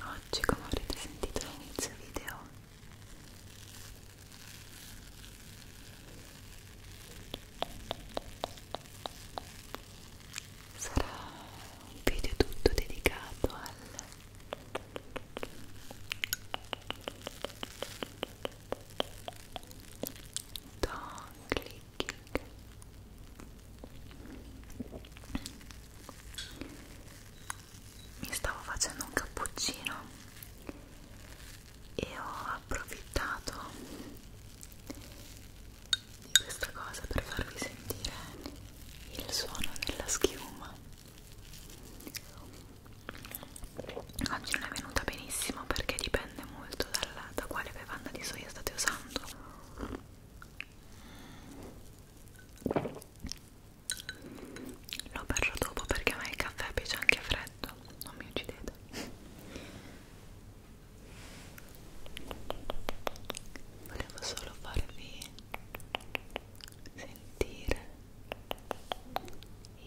Oggi, come avrete sentito all'inizio video, sarà un video tutto dedicato al da clicking mi stavo facendo un cappuccino e ho approfittato di questa cosa per farvi sentire il suono della schiuma oggi non è venuta benissimo perché dipende molto dalla, da quale bevanda di soia state usando lo berrò dopo perché a me il caffè piace anche freddo non mi uccidete volevo solo farvi sentire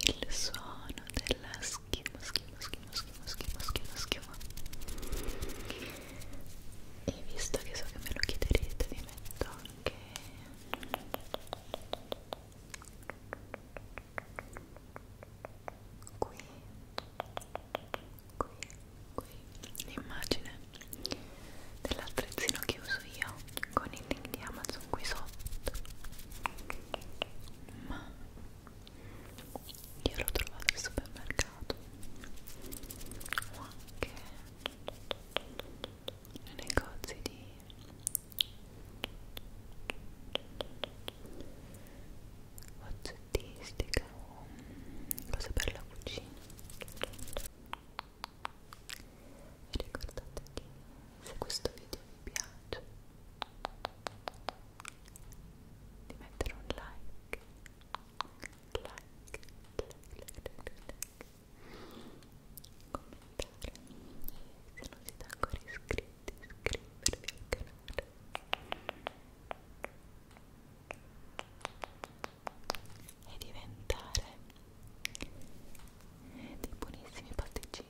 il suono della schiuma, schiuma, schiuma, schiuma, schiuma, schiuma, schiuma e visto che so che me lo chiederete vi metto anche qui qui, qui l'immagine dell'attrezzino che uso io con il link di Amazon qui sotto ma io l'ho trovato al supermercato o anche nei negozi di oggettistica o cose per la cucina e ricordate di se questo video vi piace di mettere un like like, like, like, like, like. commentare e se non siete ancora iscritti iscrivervi al canale e diventare dei buonissimi pasticcini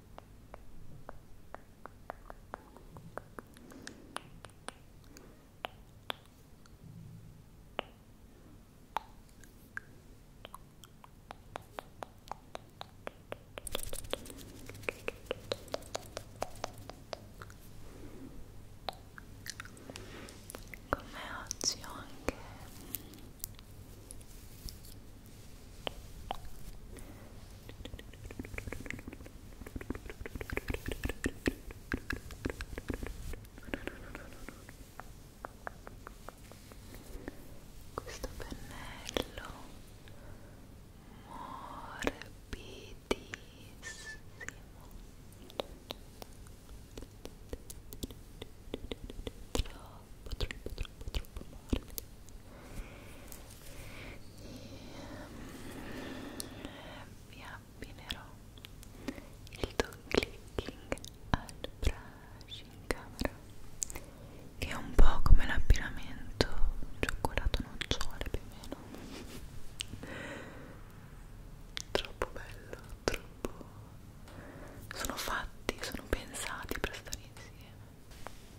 Come oggi ho anche questo pennello morbidissimo troppo troppo troppo troppo morbido vi abbinerò il dog clicking al brush in camera che è un po' come l'abbinamento cioccolato nocciole più o meno troppo bello troppo sono fatti sono pensati per stare insieme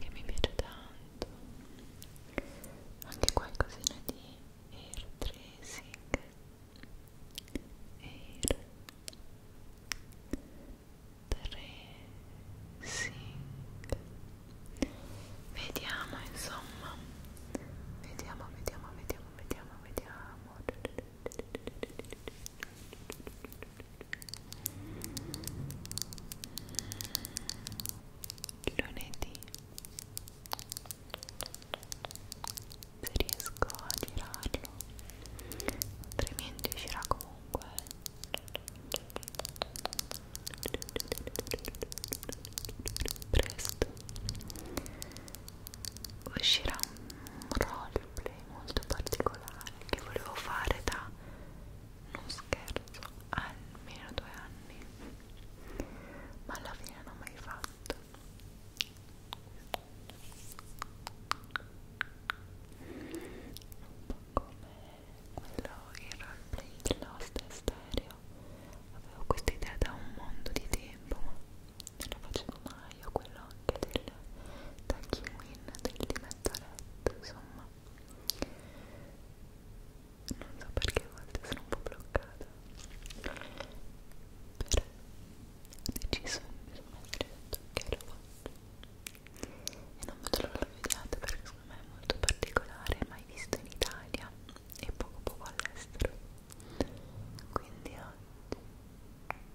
che mi piace tanto anche qualcosina di air tracing air tracing vediamo insomma vediamo vediamo vediamo vediamo vediamo lunedì se riesco a tirarlo altrimenti uscirà comunque presto uscirà un roll gameplay molto particolare che volevo fare da non scherzo almeno due anni ma alla fine non ho mai fatto un po' come quello il roleplay di Lost Stereo avevo questa idea da un mondo di tempo ma non lo facevo mai, o quello anche del tacchino in, del dimettaletto, insomma non so perché a volte sono un po' bloccata però ho deciso mi sono detto che lo faccio e non vedo l'ora lo vediate perché secondo me è molto particolare mai visto in Italia e poco poco all'estero quindi oggi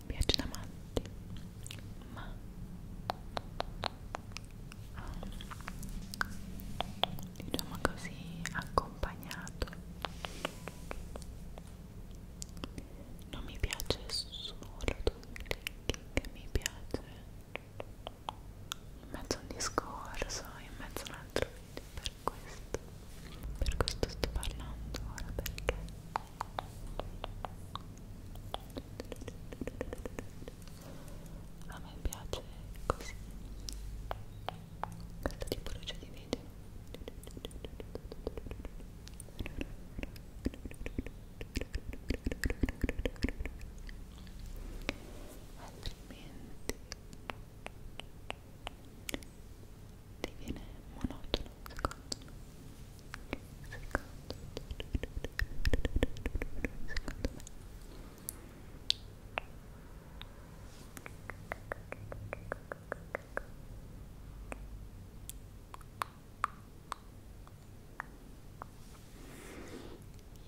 mi piace da matti ma diciamo così accompagnato non mi piace solo che mi piace in mezzo a un discorso in mezzo a un altro video per questo per questo sto parlando ora perché a me piace così questa tipologia di video altrimenti diviene monotono secondo me secondo, secondo me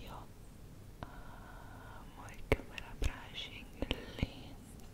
io amo il camera brushing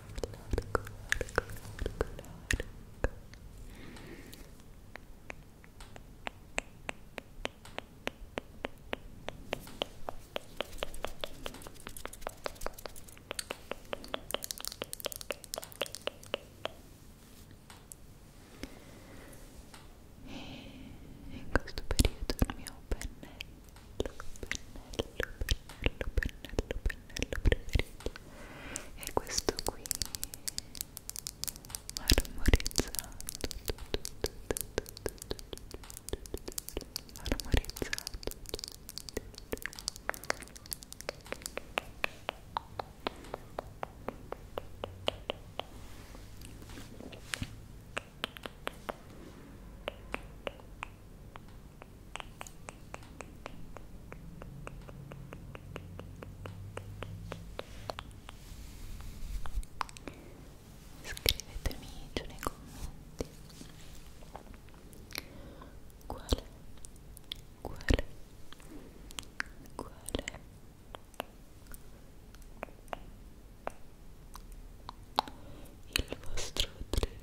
largo, largo, largo, largo. E in questo periodo il mio pennello pennello, pennello, pennello preferito è questo qui marmorizzato marmorizzato Ecco Scrivetemi giù nei commenti quale, quale, quale il vostro trigger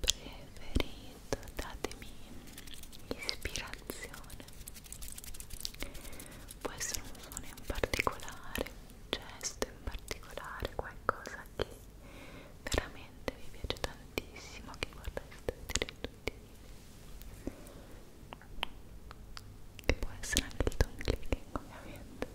preferito, datemi ispirazione. Può essere un suono in particolare, un gesto in particolare, qualcosa che veramente vi piace tantissimo, che vorreste vedere tutti. Che può essere anche il tone clicking, ovviamente.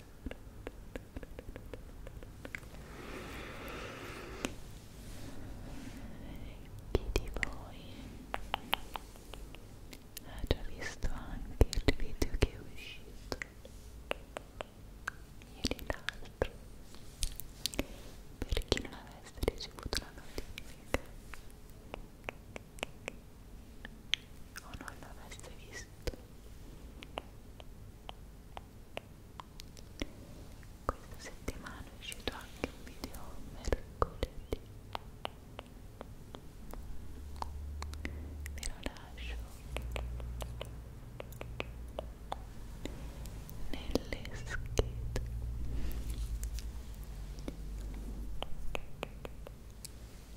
Chi di voi ha già visto anche il video che è uscito ieri l'altro? Per chi non avesse ricevuto la notifica o non l'avesse visto questa settimana è uscito anche un video mercoledì. Ve lo lascio nelle schede. Io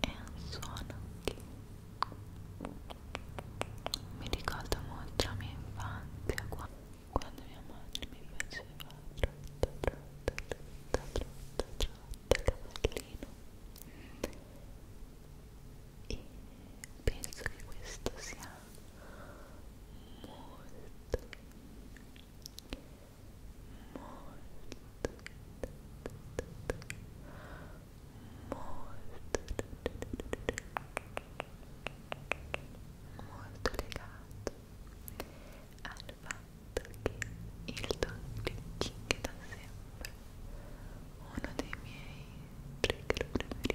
è un suono che mi ricorda molto la mia infanzia quando mia madre mi faceva trotta trotta trotta trotta trotta cavallino e penso che questo sia molto molto legato al fatto che il doppio king da sempre uno dei miei trigger preferiti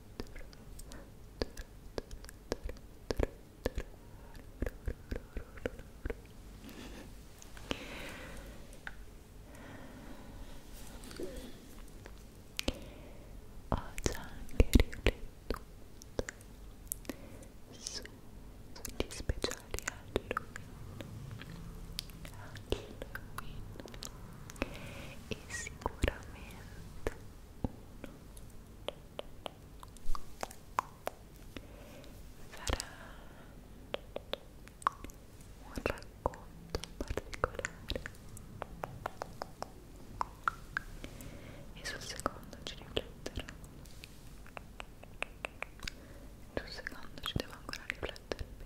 Ho già anche riflettuto su, sugli speciali Halloween, Halloween e sicuramente uno sarà un racconto particolare e sul secondo ci rifletterò sul secondo ci devo ancora riflettere bene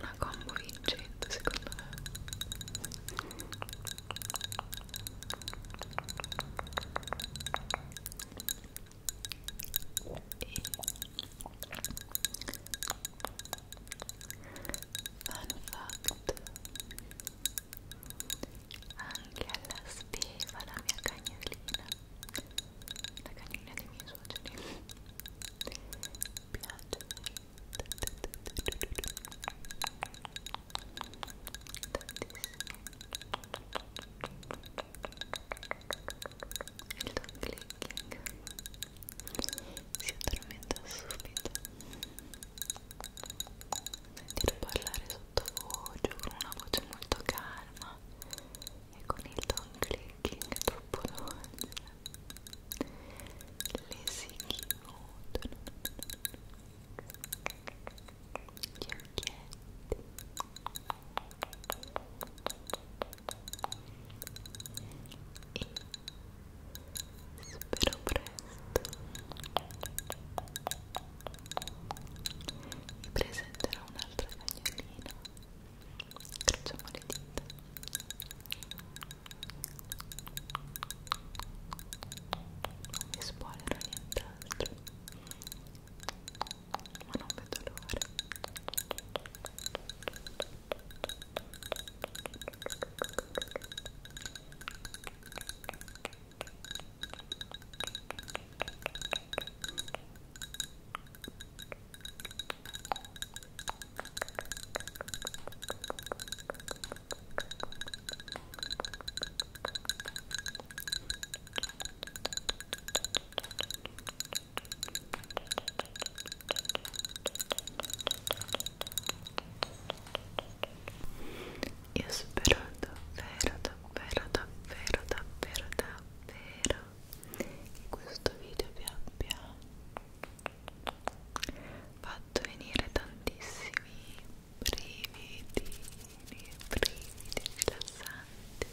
una combo vincente secondo me e fun fact anche alla speva la mia cagnolina la canina dei miei suoceri piace tantissimo il dog clicking si addormenta subito sentire parlare sottovoce con una voce molto calma e con il don clicking troppo dolce le si chiudono gli occhietti e spero presto vi presenterò un'altra cagnolina Crociamo le dita. Non mi spoilerò nient'altro. Ma non vedo l'ora. Ora Io spero davvero, davvero, davvero, davvero, davvero che questo video vi abbia fatto venire tantissimi brividini, brividi rilassanti,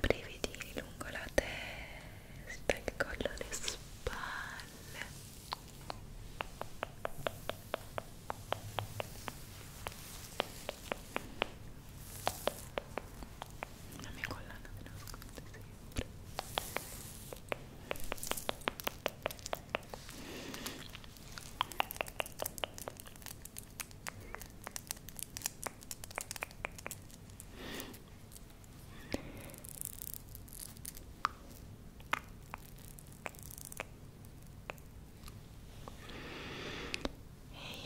brividini lungo la testa, il collo, le spalle la mia collana me nasconde sempre e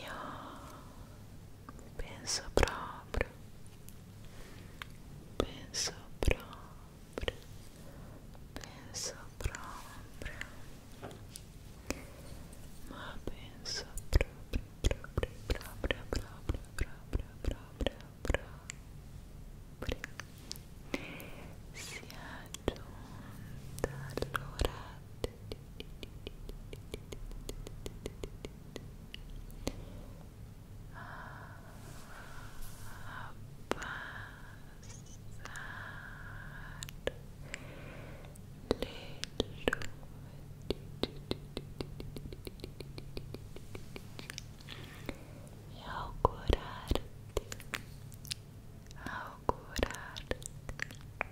io pensa proprio pensa proprio pensa proprio ma pensa proprio proprio proprio proprio proprio proprio proprio si è giunta all'ora a pasar y augurarte augurarte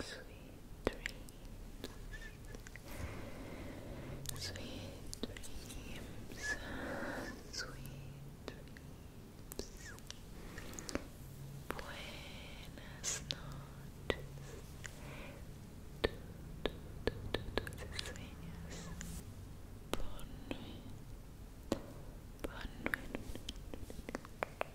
Sweet dreams. Sweet dreams. Sweet dreams. Buenas noches. Dulces sueños. Bonne nuit. Bonne nuit.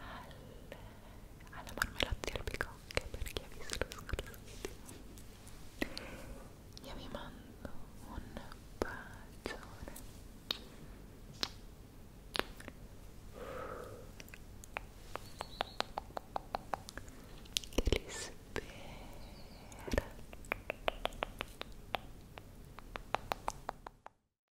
al, alla marmellata di albicocche per chi ha visto lo scorso video io vi mando un bacione che li spera